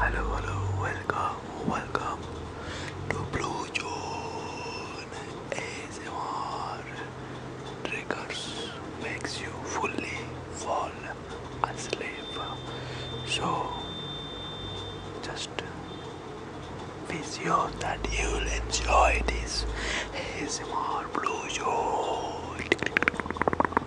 Hello, hello, welcome, welcome to Blue Zone ASMR Triggers makes you fully fall asleep. So just be sure that you'll enjoy this ASMR Blue Zone.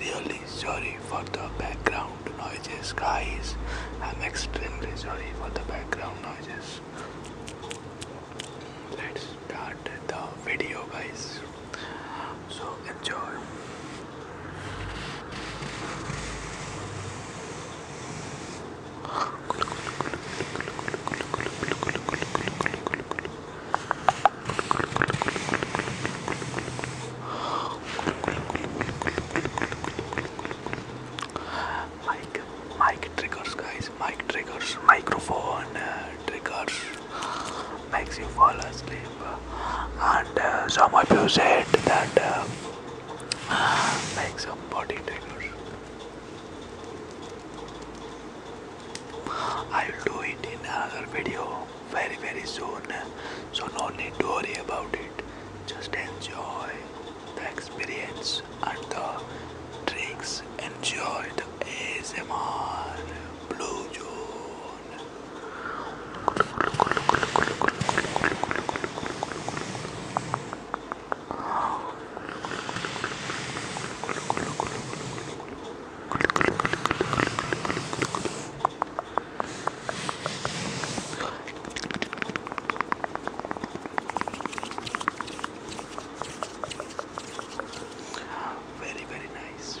really sorry for the background noises guys I'm extremely sorry for the background noises let's start the video guys so enjoy Mic, mic triggers, guys. Mic triggers, microphone uh, triggers, makes you fall asleep. And uh, some of you said that uh, makes make some body triggers. I'll do it in another video very very soon so no need to worry about it just enjoy the experience and the tricks enjoy the ASMR Blue June very, very nice.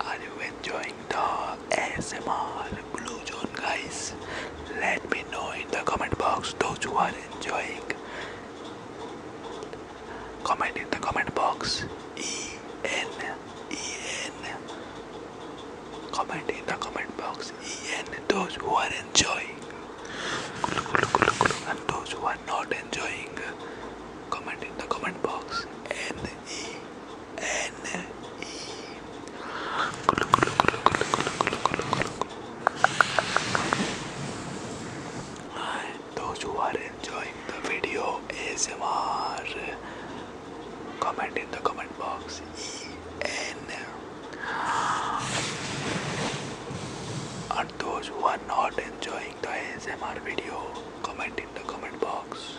are you enjoying the asmr blue zone guys let me know in the comment box those who are enjoying comment in the comment box e n e n comment in the comment box e n those who are enjoying and those who are not enjoying comment in the comment box n e uh, those who are enjoying the video ASMR, comment in the comment box. E N. Uh, and those who are not enjoying the ASMR video, comment in the comment box.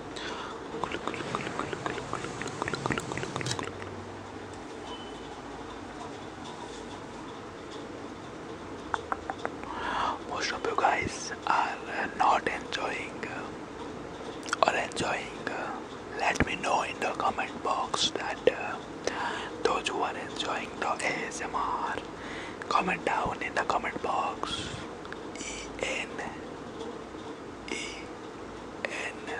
Most of you guys are uh, not enjoying uh, or enjoying. Uh, let me know in the comment box that those who are enjoying the ASMR comment down in the comment box E N E N.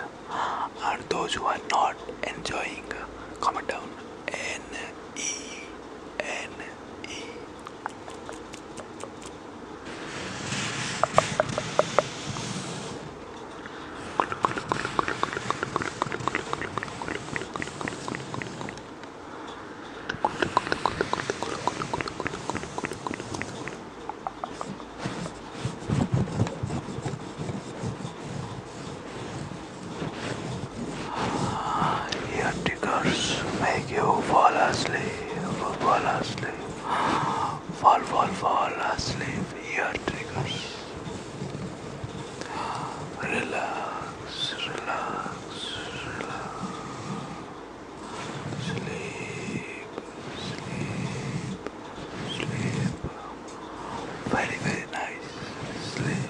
And those who are not enjoying, uh, comment down N E N E. Your triggers make you fall asleep, fall asleep, fall, fall, fall asleep. Your triggers. Relax, relax, relax sleep, sleep, sleep. Very, very nice. Sleep.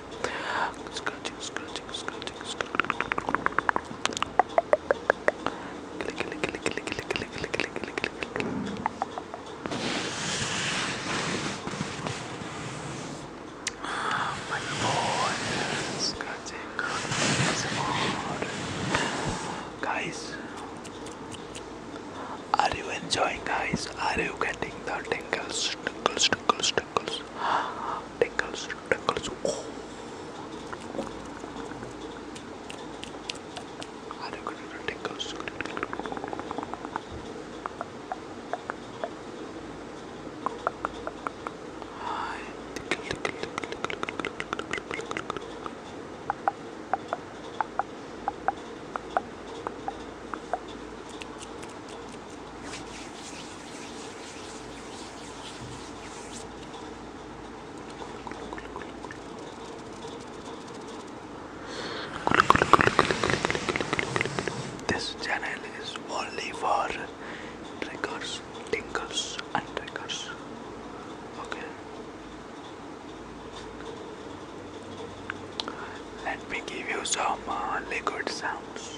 scratching, scratching, scratching, my boy, scratching, guys. Are you enjoying, guys? Are you getting the tingles, tingles, tingles, tickles, tickles, tickles. Oh. Are you going Hi, tickle, tickle, tickle, tickle, tickle, tickle. This channel is only for triggers, tingles, and triggers. Okay. Let me give you some uh, liquid sounds.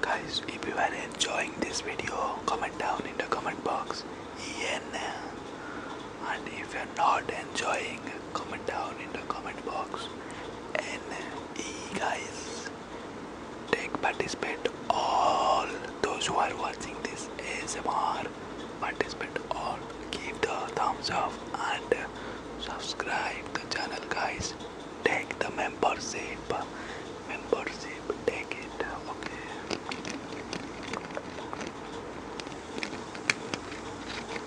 Guys, if you are enjoying this video, comment down in the comment box. Yeah. And if you're not enjoying, comment down in the comment box and guys take participate all those who are watching this ASMR participate all give the thumbs up and subscribe the channel guys take the membership membership take it okay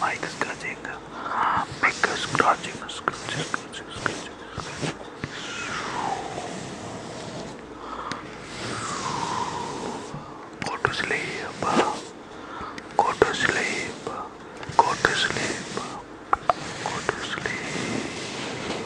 Mike scratching, ah, Mike scratching, scratching, scratching, scratching. Go to sleep, go to sleep, go to sleep, go to sleep.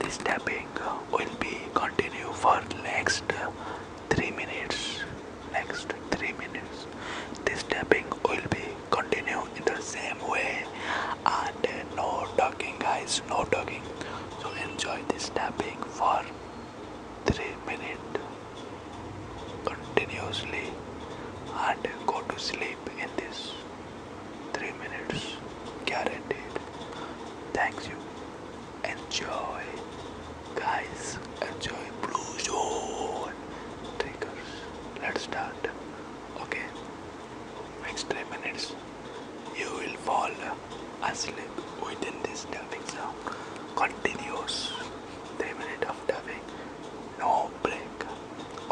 This tapping will be continue for next 3 minutes. Next 3 minutes. This tapping will be continue in the same way and uh, no talking guys, no talking. So enjoy this tapping for 3 minutes continuously and go to sleep in this 3 minutes guaranteed thanks you enjoy guys enjoy blue zone triggers let's start okay next 3 minutes you will fall asleep within this tapping sound. Continuous 3 minutes of tapping, no break.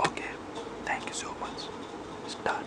Okay, thank you so much. Start.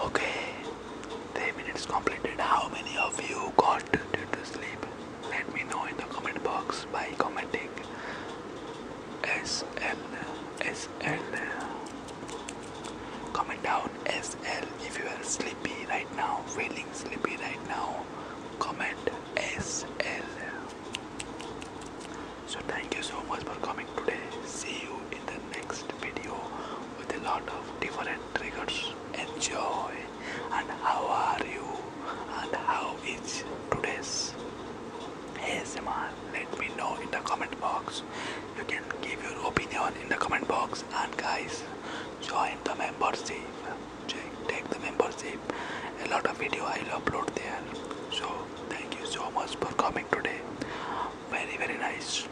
Okay, 10 minutes completed. How many of you got due to sleep? Let me know in the comment box by commenting. SL comment down SL if you are sleepy right now feeling sleepy right now comment SL so thank you so much for coming today see you in the next video with a lot of different triggers enjoy and how are you and how is today's ASMR let me know in the comment box you can give your opinion in the comment box and guys join the membership take the membership a lot of video i will upload there so thank you so much for coming today very very nice